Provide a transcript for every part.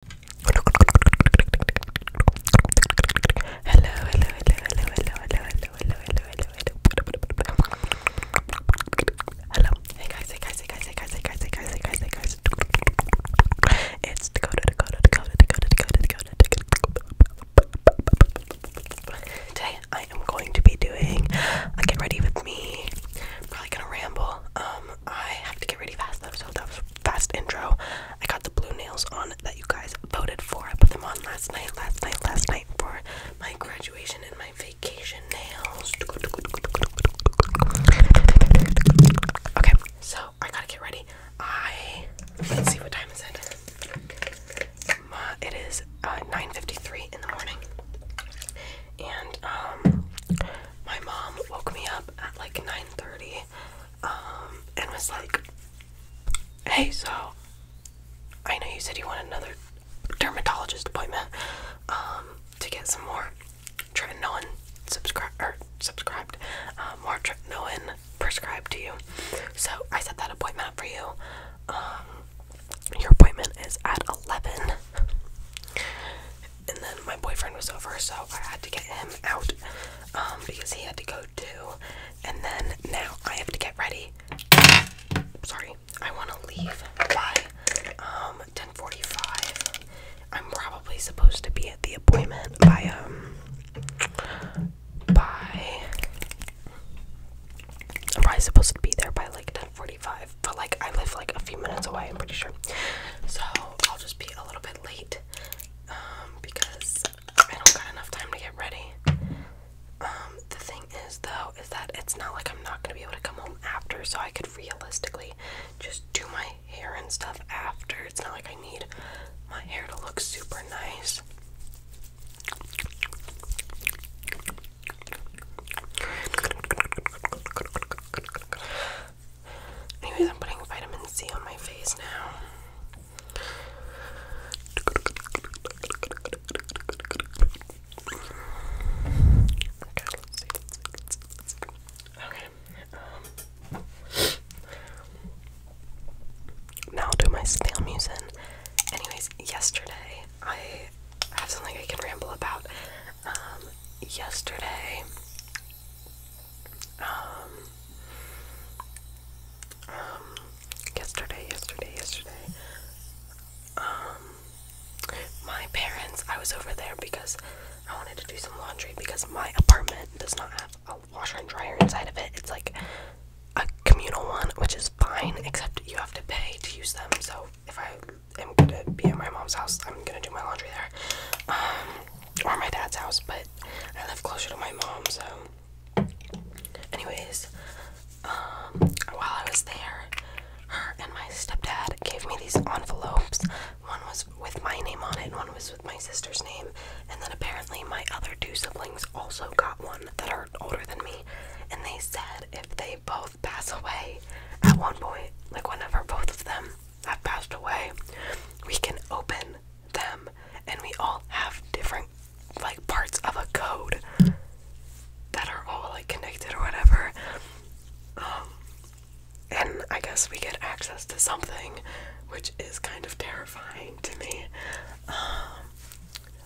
hello, hello, hello, hello, hello, hello, hello, hello, hello. Hello. Hey hey guys, hey guys, hey guys, hey guys, hey guys, hey guys, hey guys. It's Today I am going to be doing a get ready with me. Probably gonna ramble. Um, I have to get ready fast though, so that fast intro. I got the blue nails on that you guys voted for. I put them on last night, last night, last night for my graduation and my vacation nails. Okay, so I gotta get ready. I let's see what time is it. it is 9:53 uh, in the morning, and um, my mom woke me up at like 9:30 me um, like, hey, so I know you said you want another dermatologist appointment um, to get some more tretinoin subscribe or subscribed, uh, more tretinoin prescribed to you. So I set that appointment for you. your appointment is at eleven, and then my boyfriend was over, so I had to get him out um, because he had to go too. And then now I have to get ready. Sorry, I want to leave by um, 10:45. I'm probably supposed to be at the appointment by um by. I'm probably supposed to be there by like 10:45, but like I live like a few minutes away. I'm pretty sure, so I'll just be a little bit late um, because I don't got enough time to get ready. Um, the thing is, though, is that it's not like I'm not gonna be able to come home after, so I could realistically just do my hair and stuff after. It's not like I need my hair to look super nice. Anyways, I'm putting vitamin C on my face now. Okay, um, now I'll do my Stammusin. Anyways, yesterday, I have something I can ramble about. Um, yesterday, um, um, yesterday, yesterday, yesterday, um, my parents, I was over there because I wanted to do some laundry because my apartment does not have a washer and dryer inside of it. It's like a communal one, which is fine, except you have to pay to use them. So if I am gonna be at my mom's house, I'm gonna do my laundry there. Um, or my dad's house, but I live closer to my mom, so. Anyways, um, while I was there, her and my stepdad gave me these envelopes. One was with my name on it, and one was with my sister's name. And then apparently, my other two siblings also got one that are older than me. And they said if they both pass away at one point, like one of whenever both of them have passed away, we can open them and we all have different like parts of a code that are all like connected or whatever. Um, and I guess we get access to something which is kind of terrifying to me. Um,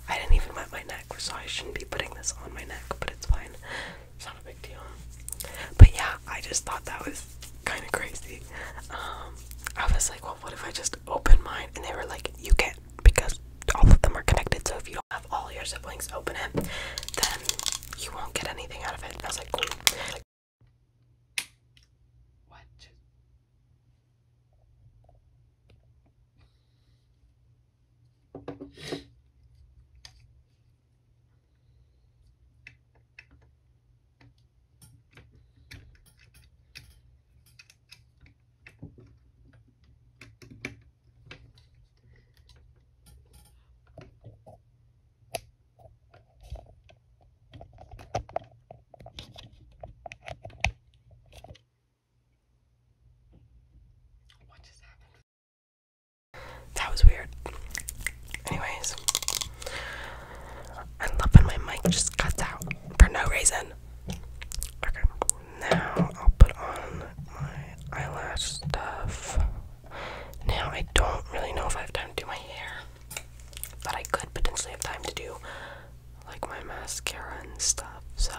I didn't even wet my neck, so I shouldn't be putting this on my neck, but it's fine. It's not a big but yeah, I just thought that was kind of crazy. Um, I was like, well, what if I just open mine? And they were like, you can't because all of them are connected. So if you don't have all your siblings open it, then you won't get anything out of it. And I was like, Like, what? What just happened? That was weird. Anyways, I love when my mic just cuts out for no reason. Okay, now I'll put on my eyelash stuff. Now I don't really know if I have time to do my hair, but I could potentially have time to do like my mascara and stuff. So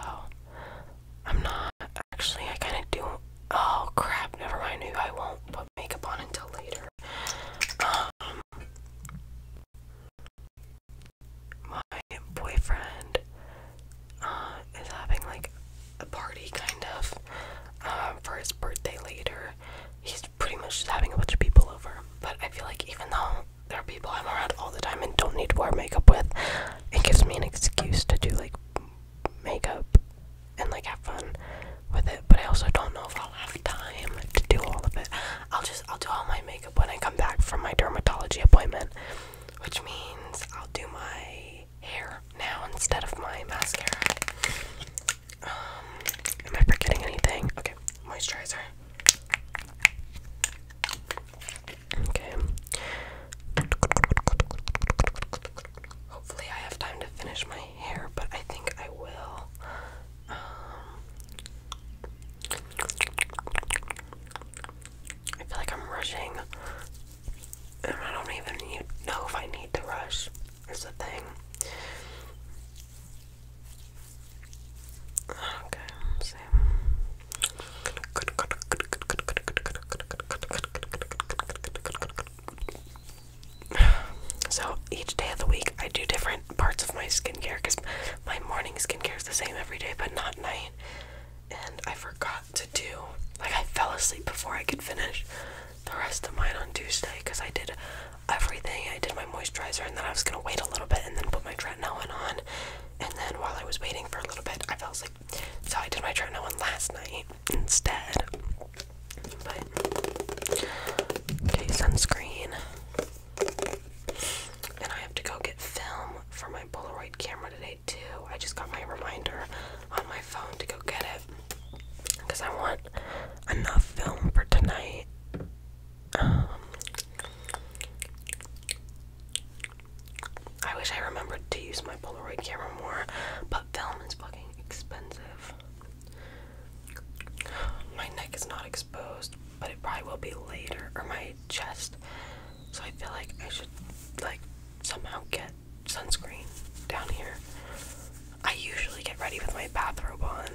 I'm not actually. I kind of do. Oh crap! Never mind. I won't put makeup on until later. Um, my boyfriend uh, is having like a party, kind of, um, for his birthday later. He's pretty much just having a bunch of people over. But I feel like even though there are people I'm around all the time and don't need to wear makeup with, it gives me an excuse to do like makeup and like have fun with it. But I also don't know if I'll have time to do all of it. I'll just I'll do all my makeup when I come back from my dermatology appointment, which means I'll do my hair now instead of my mascara. Um, am I forgetting anything? Okay, moisturizer. Okay. Hopefully, I have time to finish my but I think I will. Um, I feel like I'm rushing, and I don't even need, know if I need to rush. It's the thing. Okay, same. So each day of the week, I do different parts of my skincare because my morning skincare is the same every day, but not night. And I forgot to do, like, I fell asleep before I could finish the rest of mine on Tuesday because I did everything. I did my moisturizer, and then I was gonna wait a little bit and then put my tretinoin on. And then while I was waiting for a little bit, I fell asleep. So I did my tretinoin last night instead okay, sunscreen. And I have to go get film for my Polaroid camera today too. I just got my reminder on my phone to go get it because I want enough film for tonight. Um, I wish I remembered to use my Polaroid camera more, but film is fucking expensive. My neck is not exposed, but it probably will be later, or my chest. So I feel like I should like somehow get sunscreen down here. I usually get ready with my bathrobe on.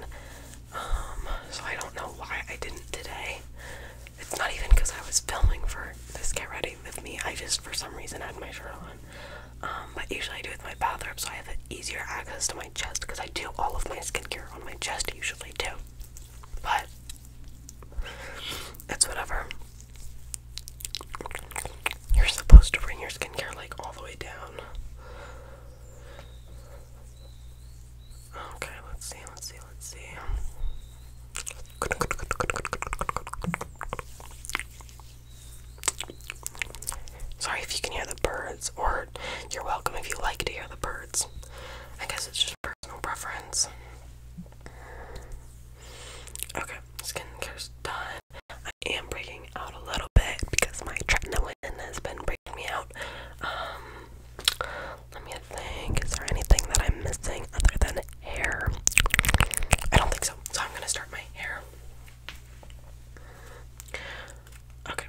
Um, so I don't know why I didn't today. It's not even because I was filming for this get ready with me. I just for some reason had my shirt on but um, usually I do it with my bathrobe so I have easier access to my chest because I do all of my skincare on my chest usually too. But that's whatever. You're supposed to bring your skincare like all the way down. Okay, let's see, let's see, let's see. Sorry if you can hear the birds, or you're welcome if you like to hear the birds. I guess it's just personal preference. Okay, skincare's done. I am breaking out a little bit because my tretinoin has been breaking me out. Um, let me think. Is there anything that I'm missing other than hair? I don't think so. So I'm gonna start my hair. Okay,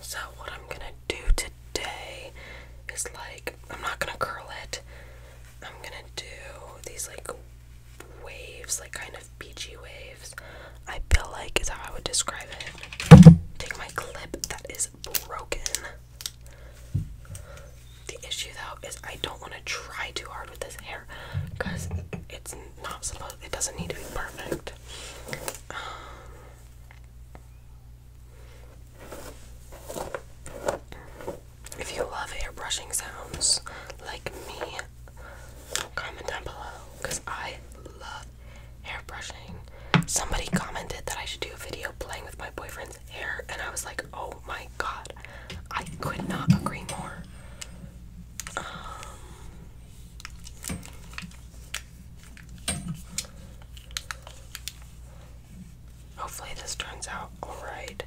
so what I'm gonna do today is like, I'm not gonna curl it, I'm gonna do these like waves, like kind of beachy waves. I feel like is how I would describe it. Take my clip that is broken. The issue though is I don't want to try too hard with this hair because it's not supposed it doesn't need to be perfect. if you love airbrushing sounds like me, comment down below because I love airbrushing. Somebody commented that I should do a video playing with my boyfriend's hair, and I was like, oh my god, I could not agree more. Um, Hopefully, this turns out alright.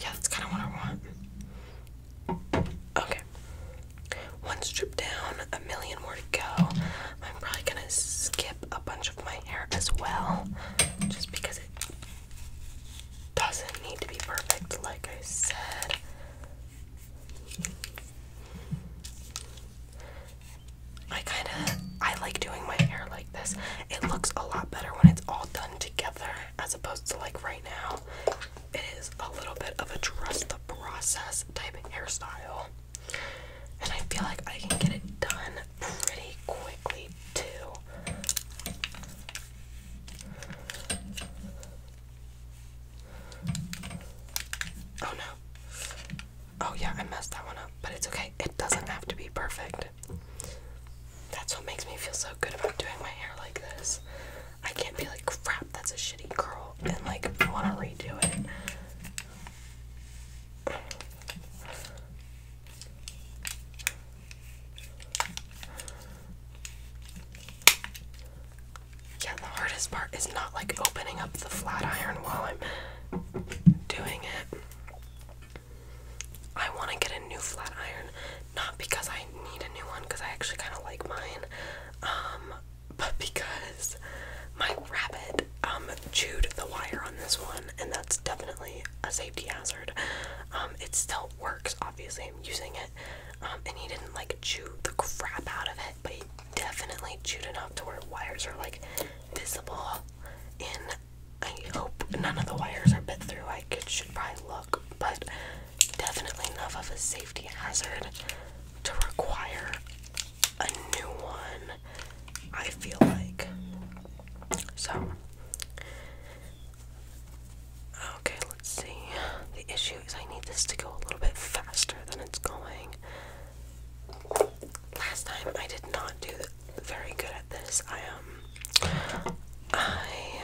Yeah, that's kind of what I want. Okay. One strip down, a million more to go. I'm probably gonna skip a bunch of my hair as well, just because it doesn't need to be perfect, like I said. I kind of I like doing my hair like this. It looks a lot better when it's all done together as opposed to like right now. It is a little bit of a trust the process type hairstyle. And I feel like I can get it done pretty quickly too. Oh no. Oh yeah, I messed that one up, but it's okay. It doesn't have to be perfect. That's what makes me feel so good about doing my hair like this. I can't be like, crap, that's a shitty curl, and like, want to redo it. Yeah, the hardest part is not like opening up the flat iron while I'm doing it. I want to get a new flat iron, not because I need a new one, because I actually kind of like mine, um, but because my rabbit um, chewed the wire on this one, and that's definitely a safety hazard. Um, it still works, obviously, I'm using it, um, and he didn't like chew the crap out of it, but definitely chewed enough to where wires are like visible. And I hope none of the wires are bit through. I could, should probably look, but definitely enough of a safety hazard to require a new one. I feel like so. Okay, let's see. The issue is I need this to go a little bit faster than it's going. Last time I did not do very good at this. I um I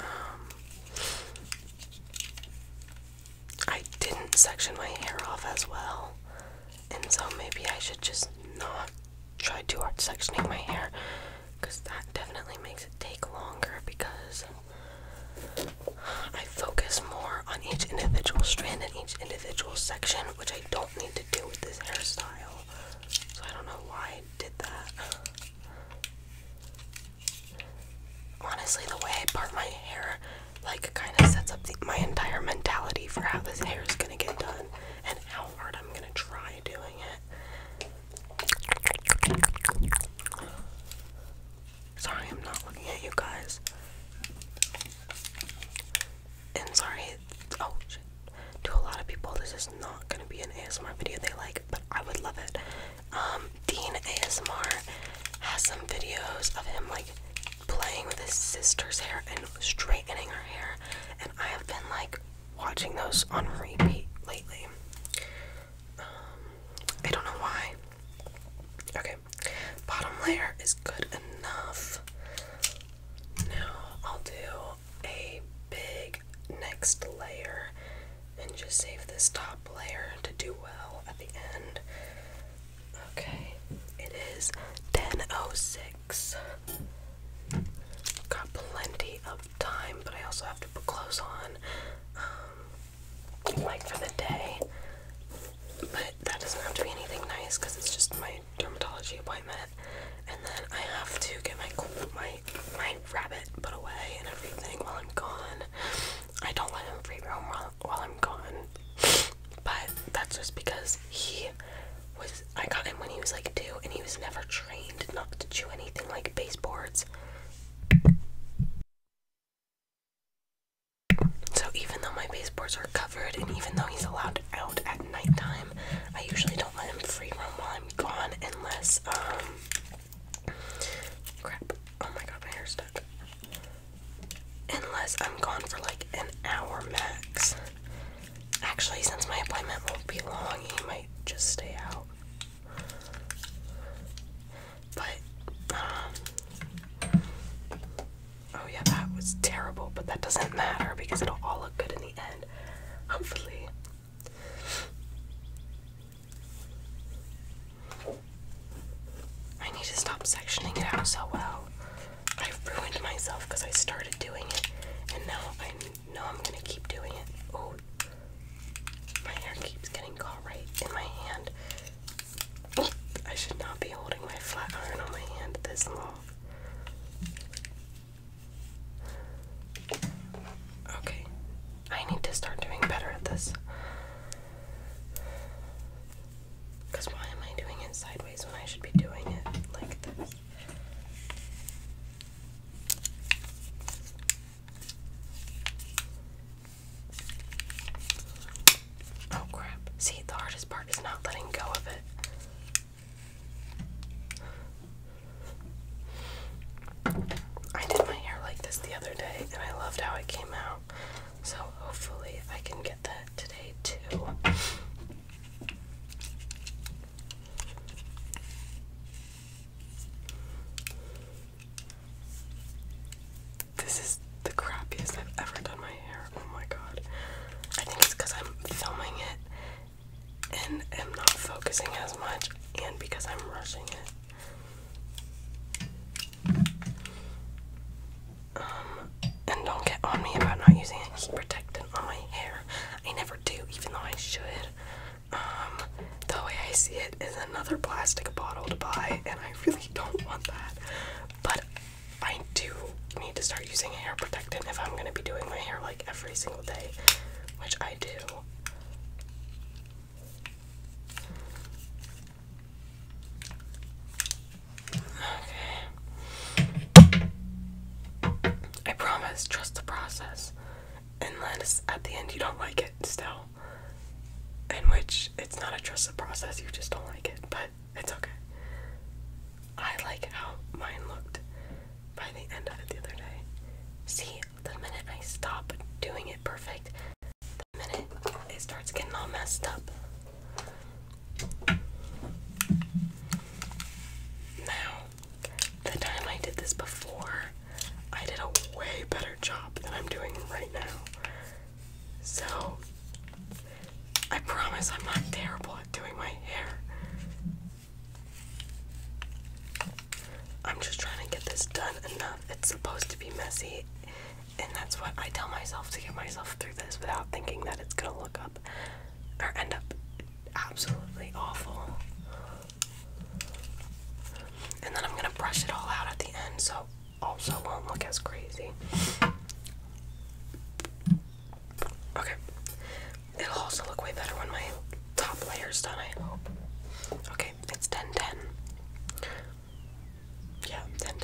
um I didn't section my hair off as well. And so maybe I should just not try too hard sectioning my hair because that definitely makes it take longer because I focus more on each individual strand and each individual section, which I don't need to do with this hairstyle. So I don't know why I did that. Honestly, the way I part my hair, like, kind of sets up my entire mentality for how this hair is gonna get done and how hard I'm gonna try doing it. Sorry, I'm not looking at you guys. And sorry, oh shit. To a lot of people, this is not gonna be an ASMR video they like, but I would love it. Um, Dean ASMR has some videos of him like playing with his sister's hair and straightening her hair, and I have been like watching those on repeat lately. Um, I don't know why. Okay, bottom layer is good enough. Now I'll do a big next layer and just save this top layer to do well at the end. Okay, it is 10.06. Got plenty of time, but I also have to put clothes on, um, like for the day. But that doesn't have to be anything nice because it's just my dermatology appointment. And then I have to get my my my rabbit put away and everything while I'm gone. I don't let him free roam while, while I'm gone, but that's just because he was. I got him when he was like two, and he was never trained not to chew anything like baseboards. So even though my baseboards are covered and even though he's allowed out at nighttime, I usually don't let him free roam while I'm gone unless um, crap. Oh my god, my hair's stuck. Unless I'm gone for like an hour max. Actually, since my appointment won't be long, he might just stay out. But, um, oh yeah, that was terrible, but that doesn't matter because it'll all look good in the end. Hopefully. I need to stop sectioning it out so well. I've ruined myself because I started doing it and now i no, I'm gonna keep doing it. Oh, my hair keeps getting caught right in my hand. I should not be holding my flat iron on my hand this long. Okay, I need to start doing better at this. Because why am I doing it sideways when I should be doing it like this? Oh crap. See, the hardest part is not letting go of it. I did my hair like this the other day and I loved how it came out. So hopefully I can get that today too. This is the crappiest I've ever done my hair. Oh my god. I think it's because I'm filming it and am not focusing as much, and because I'm rushing it. Um, and don't get on me about not using a heat protectant on my hair. I never do, even though I should. Um, the way I see it is another plastic bottle to buy, and I really don't want that. But I do need to start using hair protectant if I'm going to be doing my hair like every single day, which I do. Okay. I promise, trust the process. And unless at the end you don't like it still. In which it's not a trusted process, you just don't like it, but it's okay. I like how mine looked by the end of it the other day. See, the minute I stop doing it perfect, the minute it starts getting all messed up. Now, the time I did this before, I did a way better job than I'm doing right now. So, I promise I'm not terrible at doing my hair. I'm just trying to get this done enough. It's supposed to be messy, and that's what I tell myself to get myself through this without thinking that it's gonna look up or end up absolutely awful. And then I'm going to brush it all out at the end so also won't look as crazy. Okay. It'll also look way better when my top layer's done, I hope. Okay, it's 10 Yeah, 10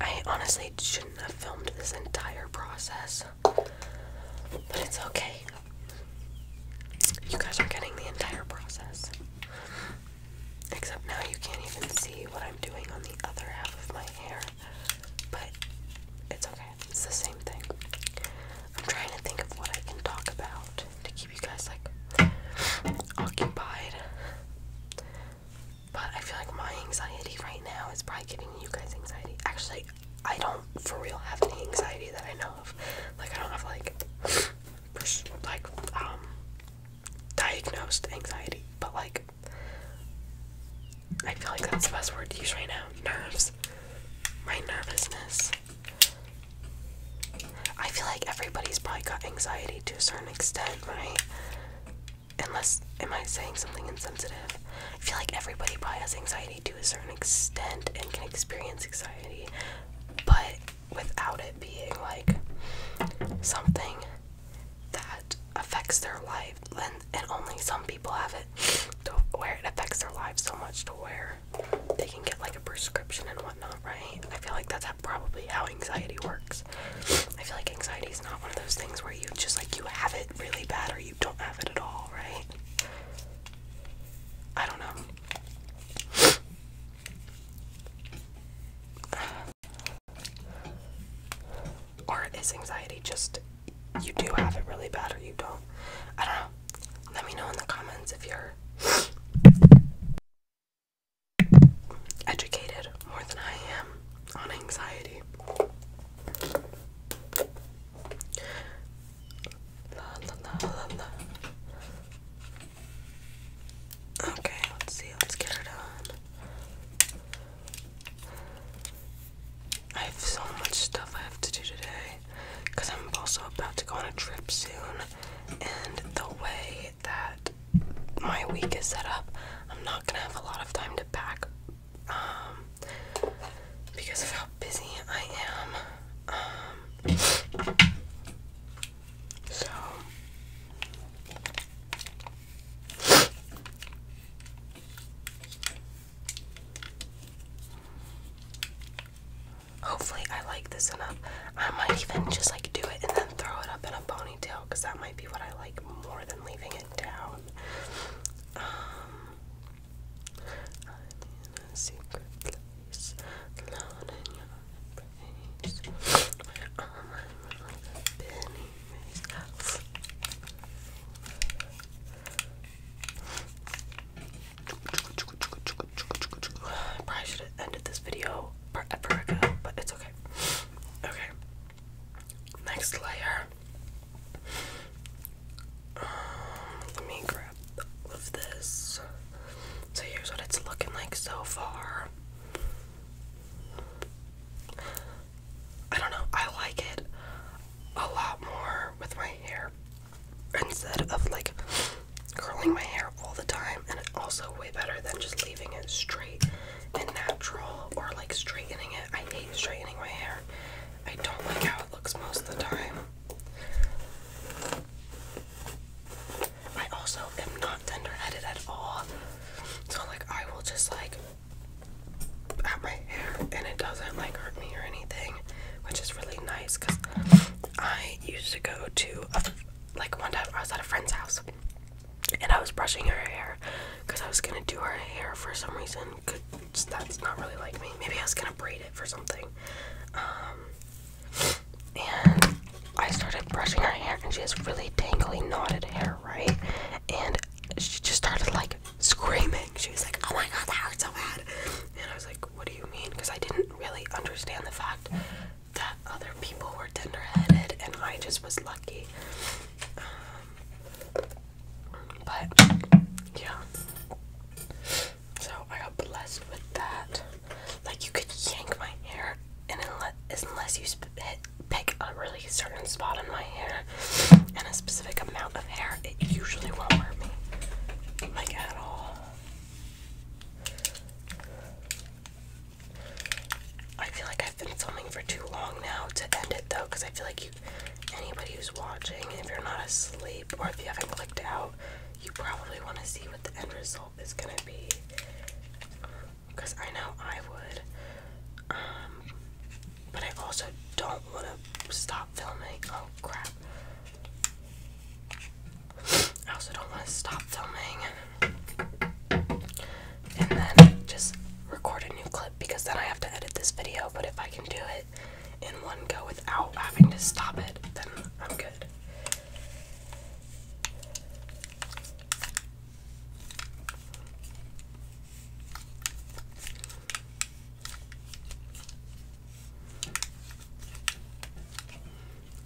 I honestly shouldn't have filmed this entire process. But it's okay. You guys are getting the entire process. Except now you can't even see what I'm doing on the other half of my hair. But it's okay. It's the same thing. I'm trying to think of what I can talk about to keep you guys like occupied. But I feel like my anxiety right now is probably giving you guys anxiety. Actually, I don't for real have any anxiety that I know of. Like I don't have like like um, diagnosed anxiety, but like I feel like that's the best word to use right now. Nerves. My nervousness. I feel like everybody's probably got anxiety to a certain extent, right? Unless am I saying something insensitive? I feel like everybody probably has anxiety to a certain extent and can experience anxiety, but without it being like something that affects their life. And, only some people have it to where it affects their lives so much to where they can get like a prescription and whatnot, right? I feel like that's probably how anxiety works. I feel like anxiety is not one of those things where you just like you have it really bad or you don't have it at all, right? I don't know. Or is anxiety just you do have it really bad or you don't? I don't know. Let me know in the comments if you're educated more than I am on anxiety. Okay, let's see. Let's get it on. I have so much stuff I have to do today because I'm also about to go on a trip soon. And the way that my week is set up, I'm not gonna have a lot of time to pack um, because of how busy I am. Um, so. Hopefully, I like this enough. I might even just like do it and then throw it up in a ponytail because that might be what I like more than leaving it down. Um, I'm in a secret place, alone in your embrace, where all my wrongs have I probably should have ended this video but it's okay. Okay. Next layer. let me grab of this. So here's what it's looking like so far. I don't know, I like it a lot more with my hair instead of like curling my hair all the time, and also way better than just leaving it straight and natural or like straightening it. I hate straightening my hair, I don't like how it looks most of the time. I also am not tender-headed at all. So like I will just like at my hair and it doesn't like hurt me or anything, which is really nice cuz I used to go to like one time I was at a friend's house and I was brushing her hair cuz I was going to do her hair for some reason that's not really like me. Maybe I was gonna braid it for something. Um, and I started brushing her hair, and she has really tangly, knotted hair, right? And she just started like screaming. She was like, "Oh my god, that hurts so bad!" And I was like, "What do you mean?" Because I didn't really understand the fact that other people were tender-headed, and I just was lucky. Um, but yeah. So I got blessed with that. Like you could yank my hair, and unless, unless you hit, pick a really certain spot in my hair and a specific amount of hair, it usually won't hurt me, like at all. I feel like I've been filming for too long now to end it though, because I feel like you anybody who's watching, if you're not asleep or if you haven't clicked out, you probably want to see what the end result is gonna be. Because I know I would. Um, but I also don't want to stop filming. Oh crap. I also don't want to stop filming and then just record a new clip because then I have to edit this video. But if I can do it it in one go without having to stop it, then I'm good.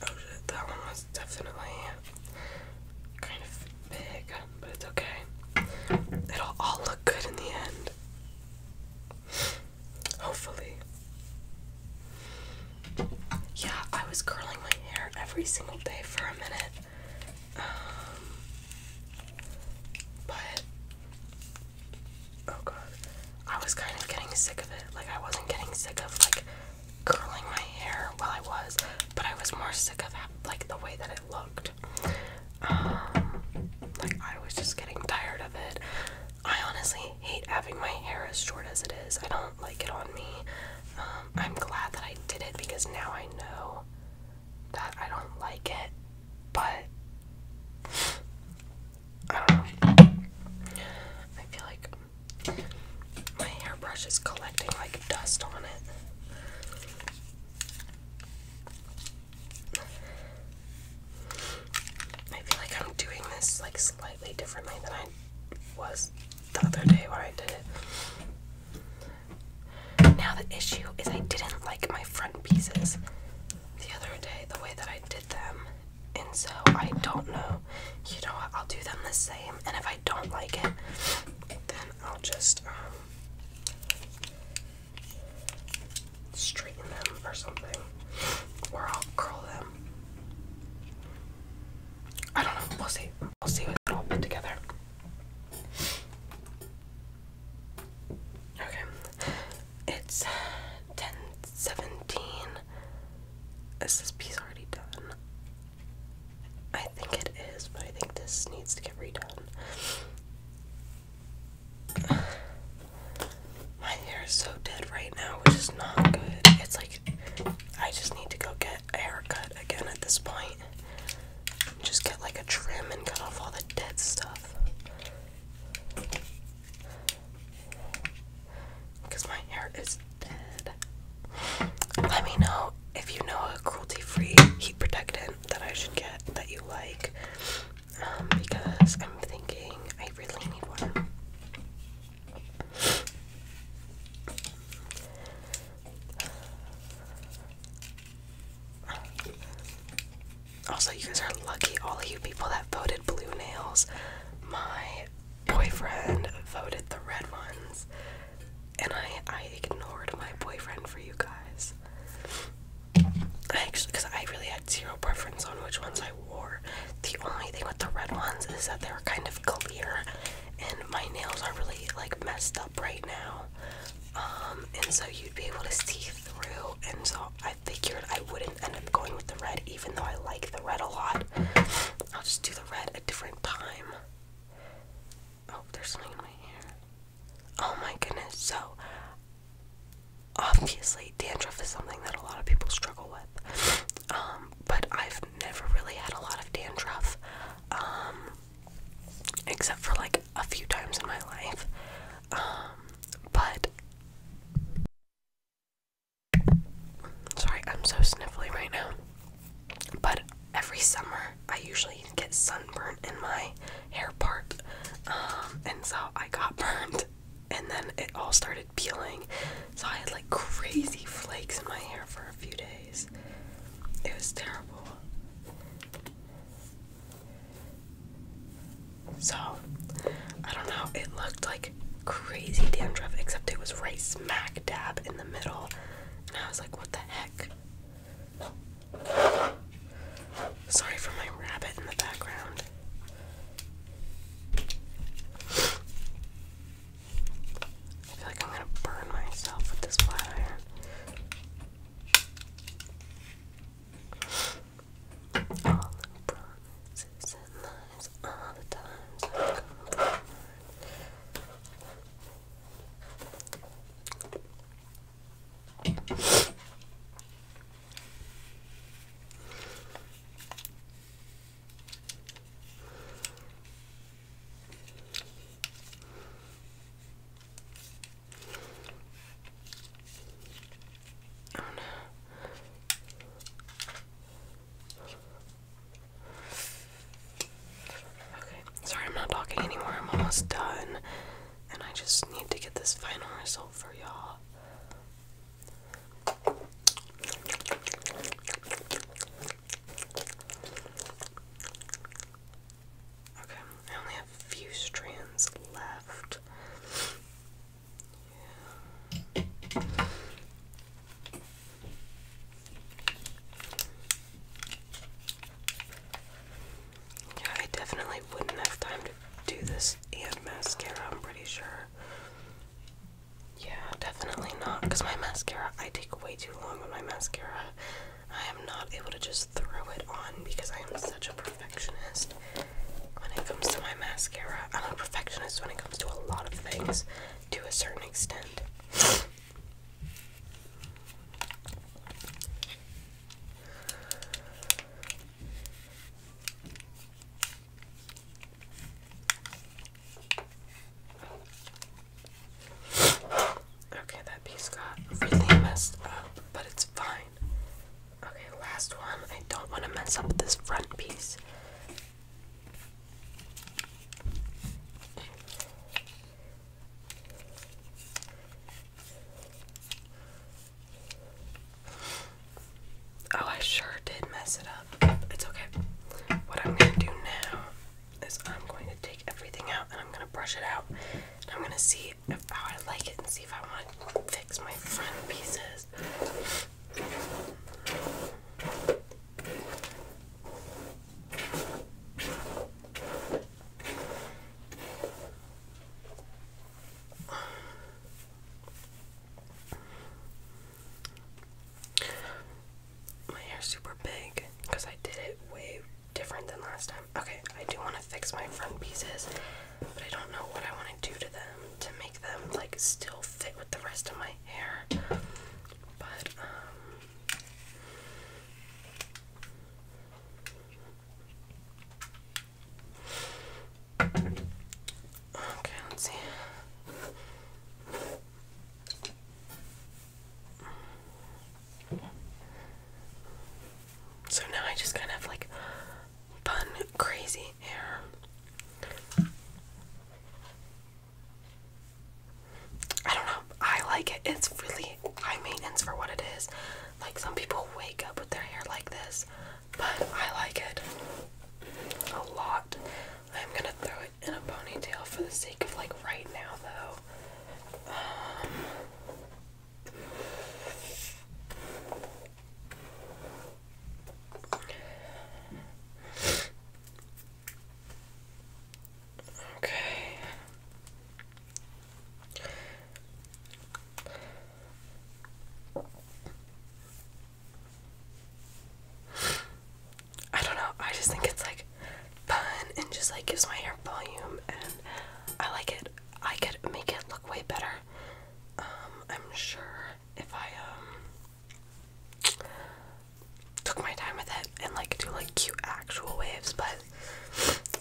Oh shit, that one was definitely kind of big, but it's okay. It'll all look good in the end. Hopefully. Yeah, I was curling my hair every single day for a minute. Um, but, oh god, I was kind of getting sick of it. Like, I wasn't getting sick of, like, curling my hair while I was, but I was more sick of, like, the way that it looked. Um, like, I was just getting tired of it. I honestly hate having my hair as short as it is. I don't like it on me. Um, I'm glad that I did it because now I know that I don't like it, but I don't know. I feel like my hairbrush is collecting like dust on it. I feel like I'm doing this like slightly differently than I was the other day where I did it. Now the issue is I didn't like my front pieces the other day, the way that I did them. And so I don't know. You know what? I'll do them the same. And if I don't like it, then I'll just um straighten them or something, or I'll curl them. I don't know. We'll see. We'll see what all put together. Okay, it's ten seventeen. Is this piece already done? I think it is, but I think this needs to get redone. My hair is so dead right now, which is not good. It's like I just need to go get a haircut again at this point. Just get like a trim and cut off all the dead stuff. Because my hair is dead. Let me know if you know a cruelty free heat protectant that I should get that you like because I'm thinking I really need one. Also, you guys are lucky, all you people that voted blue nails. My boyfriend voted the red ones, and I I ignored my boyfriend for you guys actually, because I really had zero preference on which ones I wore. The only thing with the red ones is that they were kind of clear, and my nails are really like messed up right now. Um, and so you'd be able to see through, and so I figured I wouldn't end up going with the red, even though I like the red a lot. I'll just do the red a different time. Oh, there's something in my hair. Oh my goodness. So, obviously dandruff is something that a lot of people struggle with um, but i've never really had a lot of dandruff um, except for like a few times in my life um, but sorry i'm so sniffly right now but every summer i usually get sunburnt in my hair part and so i got burned and then it all started peeling. So I had like crazy flakes in my hair for a few days. It was terrible. So, I don't know, it looked like crazy dandruff, except it was right smack dab in the middle. And I was like, what the heck? Sorry for my rabbit in the background. I feel like I'm gonna burn myself with this flat iron. All the promises and lies, all the times I've come sorry I'm not talking anymore. I'm almost done. And I just need to get this final result for y'all. Okay, I only have a few strands left. Yeah. I definitely wouldn't have time to do this and mascara, I'm pretty sure. Yeah, definitely not. Because my mascara, I take way too long with my mascara. I am not able to just throw it on because I am such a perfectionist when it comes to my mascara. I'm a perfectionist when it comes to a lot of things to a certain extent. Okay, that piece got really messed up, but it's fine. Okay, last one. I don't want to mess up this front piece. Oh, I sure did mess it up. It's okay. What I'm gonna do now is I'm going to take everything out and I'm gonna brush it out. I'm gonna see if, how I like it and see if I want to fix my front pieces. My hair's super big because I did it way different than last time. Okay, I do want to fix my front pieces, but I don't know what I want to do to them to make them like still fit with the rest of my hair. But um Okay, let's see. So now I just kind of like fun, crazy hair. I don't know. I like it. It's really high maintenance for what it is. Like some people wake up with their hair like this but I like it a lot. I'm gonna throw it in a ponytail for the sake of like right now, though. Um, okay. I don't know, I just think it's like fun and just like gives my hair volume and I like it. I could make it look way better. Um, I'm sure if I um took my time with it and like do like cute actual waves, but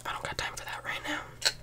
I don't got time for that right now.